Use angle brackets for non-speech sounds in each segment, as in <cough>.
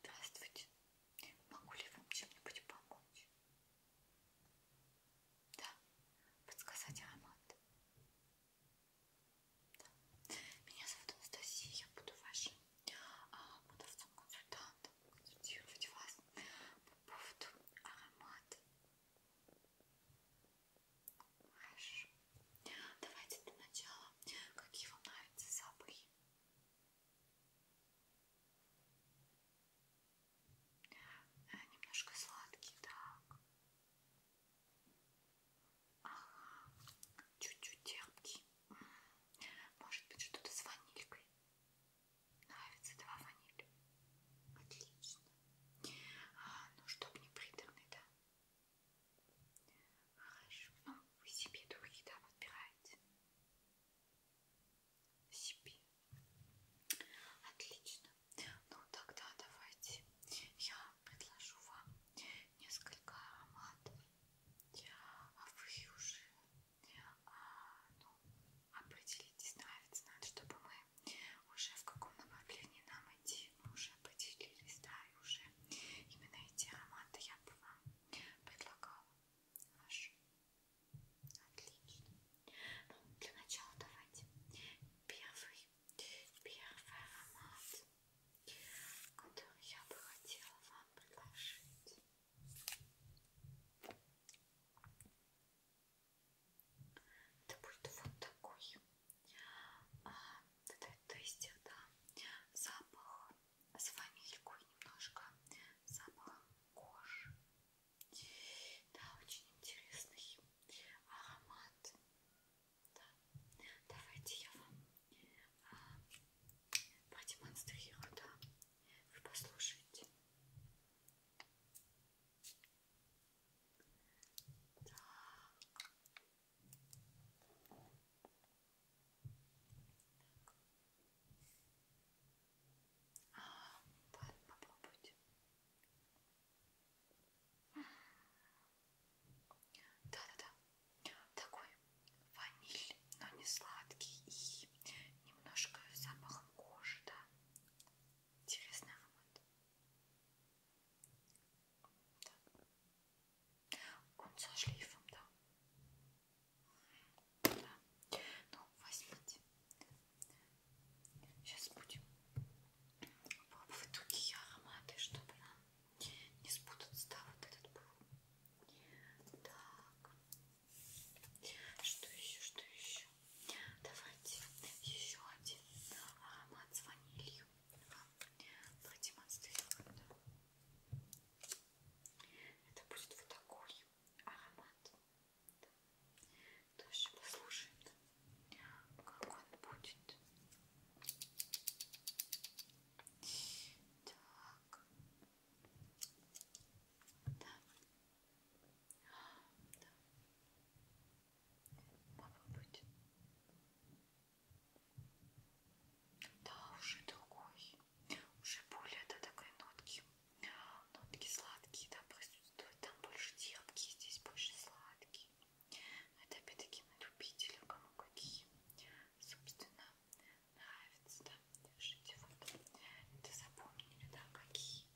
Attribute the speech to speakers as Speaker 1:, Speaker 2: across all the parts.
Speaker 1: Здравствуйте. Могу ли вам чем-нибудь помочь? Да. Подсказать аромат. Да. Меня зовут Анастасия. Я буду вашим а, продавцом-консультантом. Консультировать вас по поводу аромата. Хорошо. Давайте для начала. Какие вам нравятся запахи? Э, немножко сладкий, так. Ага. Чуть-чуть терпкий. Может быть, что-то с ванилькой. Нравится, да, ваниль? Отлично. А, ну, чтобы не приторный, да? Хорошо. Ну, вы себе духи, да, подбираете? Себе. Отлично. Ну, тогда давайте я предложу вам несколько ароматов. А вы уже а, ну, определитесь, нравится, надо, чтобы мы уже в каком направлении нам идти, мы уже определились, да, и уже именно эти ароматы я бы вам предлагала. Хорошо. Отлично. Ну, для начала давайте первый, первый аромат, который я бы хотела вам предложить. Это будет вот такой. А, это, то есть это запах с ванилькой немножко, запах кожи. Да, очень интересный аромат. Да. Давайте я вам а, продемонстрирую, да. Вы послушайте. Так. А, попробуйте. Да-да-да. Такой ваниль, но не сладкий и немножко запахом кожи, да. Интересный аромат. Да. Он со шлейфом, да. да. Ну, возьмите. Сейчас будем пробовать другие ароматы, чтобы нам не спутаться, да, вот этот был. Так. Что еще, что еще? дальше. Давайте еще один аромат с ванилью вам продемонстрирую. Это будет вот такой аромат. Тоже послушаем, как он будет. Так. Да. Попробуйте. Да, уже другой. Уже более это такой нотки. Нотки сладкие, да, присутствуют. Там больше терпкие, здесь больше сладкие. Это опять-таки на любителя, кому какие. Собственно, нравится, да. Держите вот. Это запомнили, да, какие.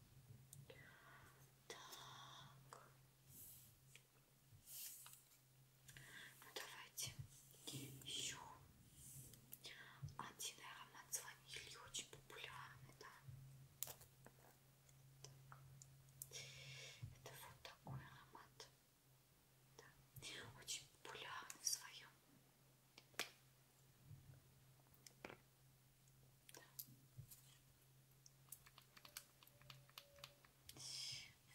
Speaker 1: Так. Ну давайте еще один аромат с ванилью, очень популярный, да. Так. Это вот такой аромат. Да. Очень популярный в своем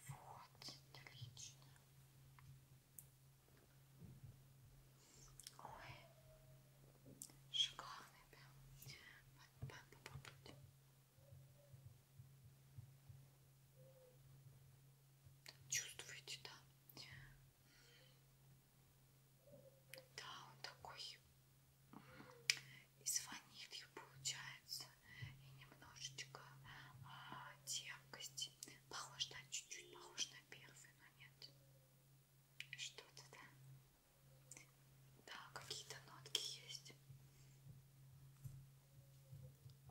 Speaker 1: вот, отлично. Ой, шикарный прям. Попробуйте. Чувствуете, да? Да, он такой и с ванилью получается, и немножечко а, терпкости. Похож на чуть-чуть, похож на первый, но нет. Что-то, да? Да, какие-то нотки есть.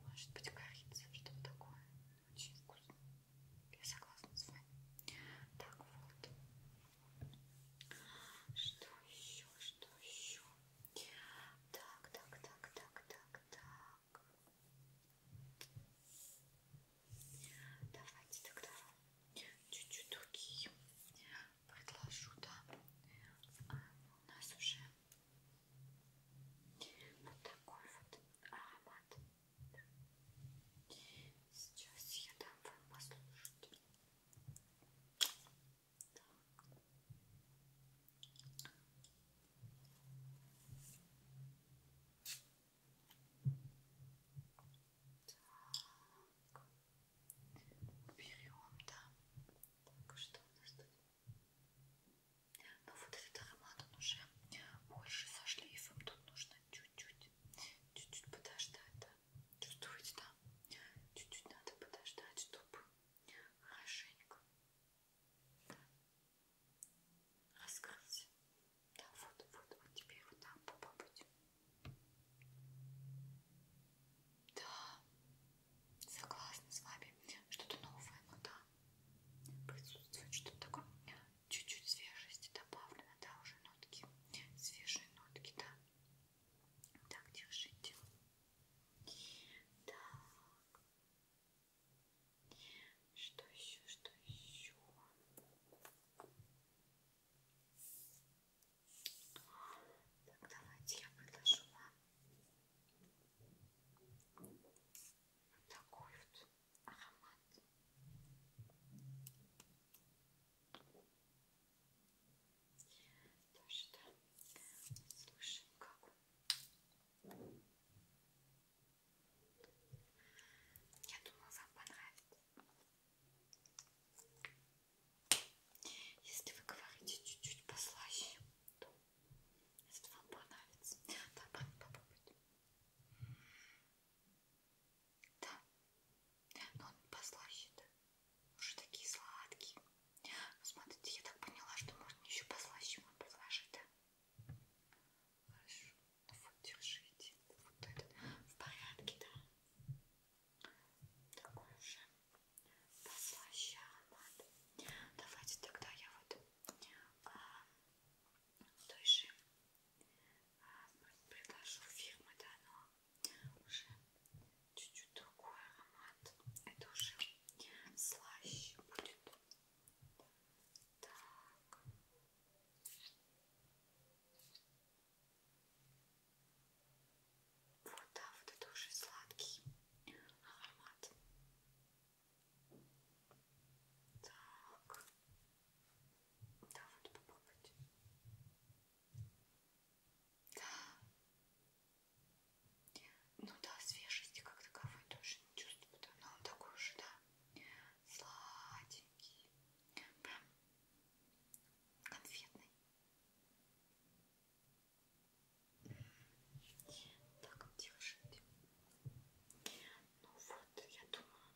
Speaker 1: Может быть, корица, что-то такое. Очень вкусно. Я согласна с вами. Так вот. Что еще? Что еще? Так, так, так, так, так, так. Давайте тогда чуть-чуть другие предложу, да. А, у нас уже вот такой вот аромат. Сейчас я дам вам послушать. Так. Так. Уберем, да. Так, а что у нас тут? Ну вот этот аромат, он уже больше со шлейфом. Тут нужно чуть-чуть чуть-чуть, чуть-чуть подождать, да? Чувствуете, да? Чуть-чуть надо подождать, чтобы хорошенько да? раскрылся. Да, вот, вот, вот теперь вот там попробуйте. Да, согласна с вами. Что-то новое, ну да. Присутствует что-то такое чуть-чуть свежести добавлено, да, уже нотки, свежие нотки, да. Так, держите. Так. Что еще, что еще? Так, давайте я предложу вам вот такой вот аромат. То, что слушаем, как он. Я думаю, вам понравится. Если вы говорите чуть-чуть послаще, то если вам понравится, то попробуйте. Да. Но он послаще, да? Уже такие сладкие. Ну, смотрите, я так поняла, что можно еще послаще ему предложить, да? Хорошо. Ну вот, держите. Вот этот. В порядке, да? Такой уже послаще аромат. Давайте тогда я вот а, той же а, предложу фирмы, да, но уже чуть-чуть другой аромат. Это уже слаще будет. Так. Вот, да, вот это уже сладкий аромат. Так. Да, вот попробуйте. Да. Ну да, свежести как таковой тоже не чувствую, но он такой уже, да, сладенький, прям конфетный. Так, держите. Ну вот, я думаю,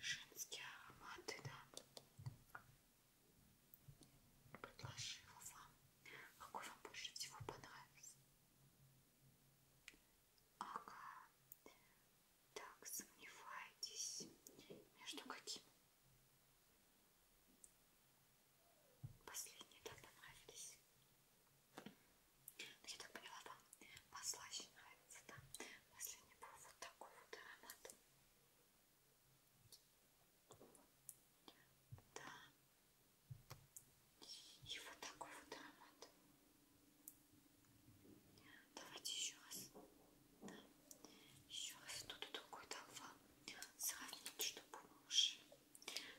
Speaker 1: женские ароматы, да. Предложила вам, какой вам больше всего понравился. Ага. Так, сомневаетесь. Между каким? Последние, да, понравились? Но я так поняла, вам послаще нравится, да? Последний был вот такой вот аромат. Да. И вот такой вот аромат. Давайте еще раз. Да. Еще раз ну, тут и другой толпа. Сравнить, чтобы мы уже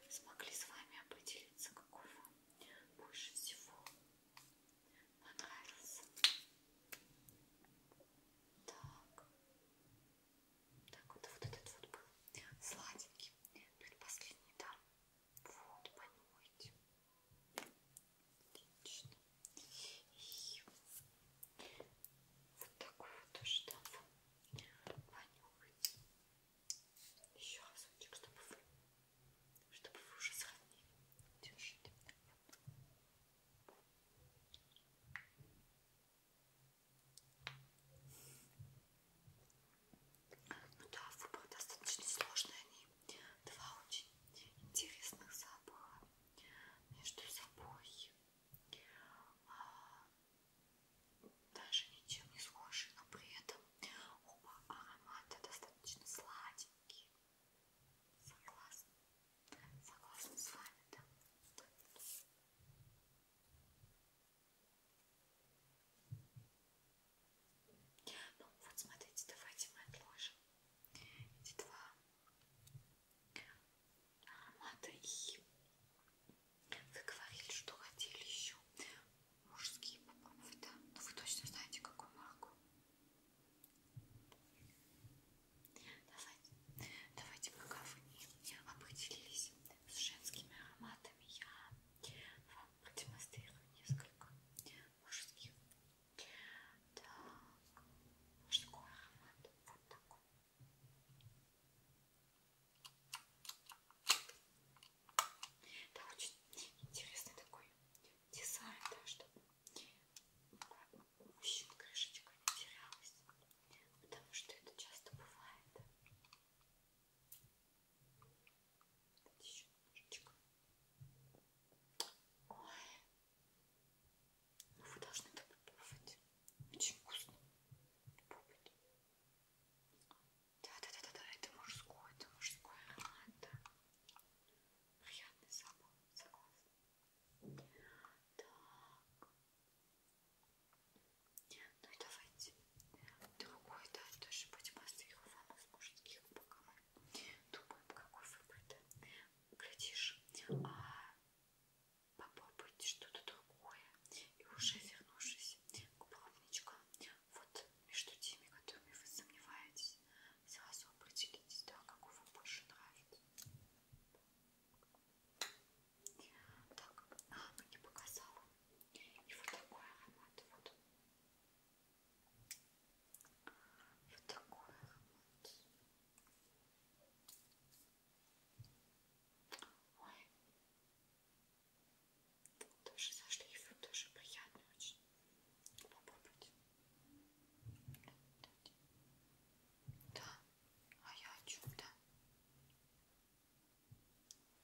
Speaker 1: смогли с вами определиться, какой вам больше всего понравился. Так. Так, вот, вот этот вот был сладенький. Предпоследний, ну да? Вот, понимаете. Отлично. И вот такой вот тоже дам вам понюхать. Еще разочек, чтобы вы, чтобы вы уже сравнили. Держите. Ну да, выбор достаточно сложный. Они два очень интересных запаха между собой. А, даже ничем не схожи, но при этом оба аромата достаточно сладенькие. Согласна? Согласна с вами, да? Ну вот смотрите, давайте мы отложим эти два аромата и вы говорили, что хотели еще мужские попробовать, да? Но ну, вы точно знаете, какую марку. Давайте, давайте пока вы не определились с женскими ароматами, я вам продемонстрирую несколько мужских. Так, мужской аромат вот такой. Да, очень интересный такой дизайн, да, чтобы у мужчин крышечка не терялась, потому что это часто бывает. Давайте еще немножечко. Ой. Ну вы должны это попробовать. Очень вкусно. Попробуйте. Да-да-да, это мужское, это мужское аромат, да. Приятный запах, согласна. Так. Ну и давайте другой, да, тоже будем остригованных мужских, пока мы думаем, какой выбрать. Глядишь, а попробуйте что-то другое покоя. И уже вернувшись к пробничкам, вот между теми, которыми вы сомневаетесь, сразу определитесь, да, какой вам больше нравится. Так, а, мы ну, не показала. И вот такой аромат, вот. Вот такой аромат. Ой, тоже со шлейфом, тоже приятно очень попробовать. Да, а я о чем-то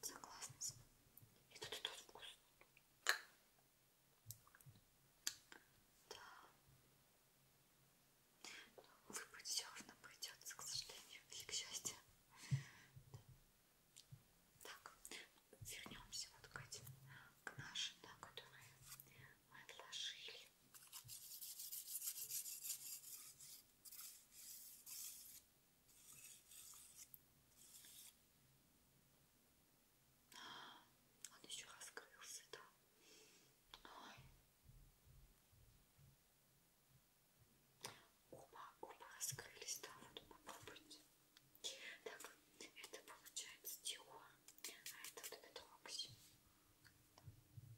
Speaker 1: согласна с вами. И тут и тут вкусно. Да. Ну, Выпить все равно придется, к сожалению, или к счастью. Так, вернемся вот к этим, к нашим, да, которые мы отложили. Он еще раскрылся, да. Ой. Оба, оба раскрылись, да, вот попробуйте. Так, это получается Диор, а это вот это Рокси.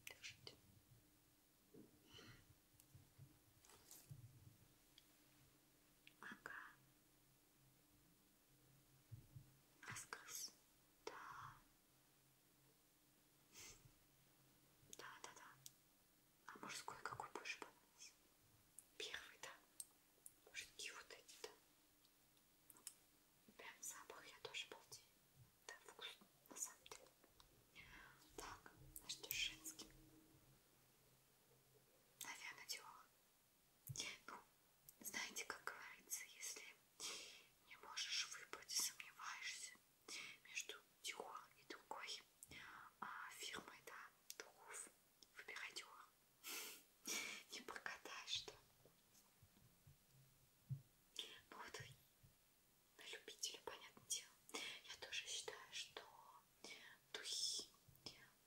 Speaker 1: Держите. Ага. Раскрылся. Да. Да-да-да. А мужской какой больше понравился? Первый, да. Мужские вот эти, да. Прям запах я тоже балдею. Да, вкус, на самом деле. Так, а что с женским? Наверное, Диор. Ну, знаете, как говорится, если не можешь выбрать и сомневаешься, между Dior и другой а, фирмой, да, духов. Выбирай Dior. <laughs> Не прокатаешь, что? Ну вот на любителя, понятное дело. Я тоже считаю, что духи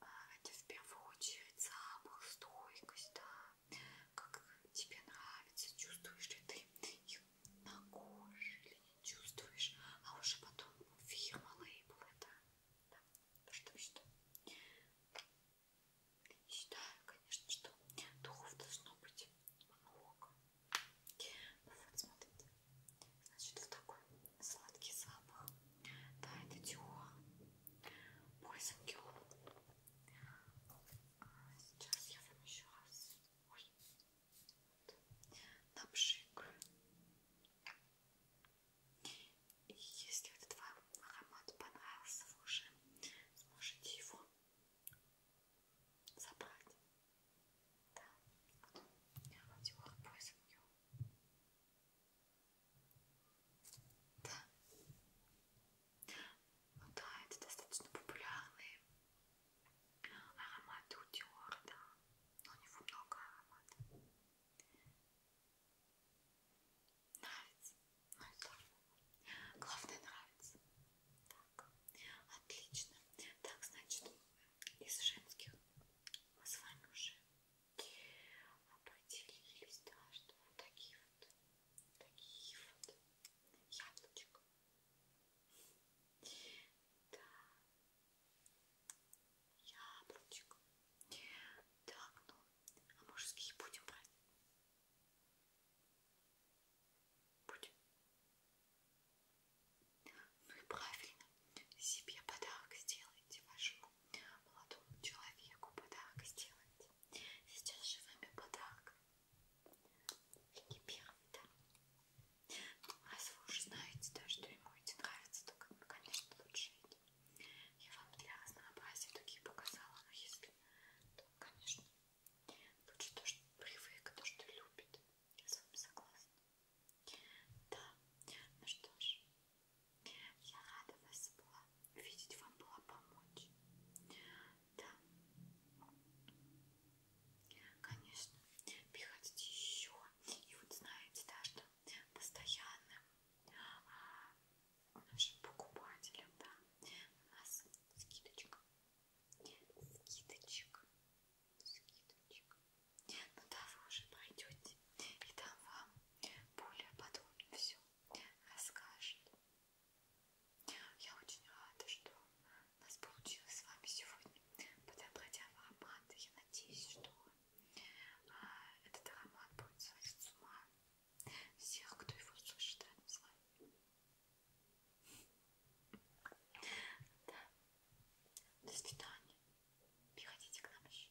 Speaker 1: а, это в первую очередь запах, стойкость, да, как тебе нравится, чувствуешь ли ты их на коже или не чувствуешь, а уже потом фирма лейбл это, да, что что. И считаю, конечно, что духов должно быть много. Ну вот, смотрите, значит, вот такой сладкий запах. Да, это Диор. Мой сангел. А, сейчас я вам еще раз. Ой, на пшик. И если этот вам аромат понравился, вы уже сможете его забрать. Да, вот я вроде поиск да, ну да, это достаточно популярный аромат у Диора, да. Но у него много ароматов. Нравится? Ну и да. Главное нравится. Так, отлично. Так, значит, из женских мы с вами уже определились, да, что вот такие вот, такие вот яблочко да. Яблочко. Так, ну, а мужские будем брать? Будем. Ну и правильно. Себе подарок сделайте вашему молодому человеку. Подарок сделайте. Сейчас живыми подарками экипировать, да? Ну, раз вы уже знаете, да, что ему эти нравятся, то, как бы, конечно, лучше эти. Я вам для разнообразия такие показала, но если, то, конечно, лучше то, что привык, то, что любит. Я с вами согласна. Да, ну что ж, я рада вас была, видеть вам была помочь. Да. Конечно. Приходите еще. И вот знаете, да, что постоянным а, нашим покупателям, да, у нас скидочка. Скидочек. Скидочек. Ну да, вы уже пройдете. И там вам более подробно все расскажет. Я очень рада, что у нас получилось с вами сегодня подобрать аромат. Я надеюсь, что а, этот аромат будет сводить с ума всех, кто его слышит рядом с вами. Да. До свидания. Приходите к нам еще.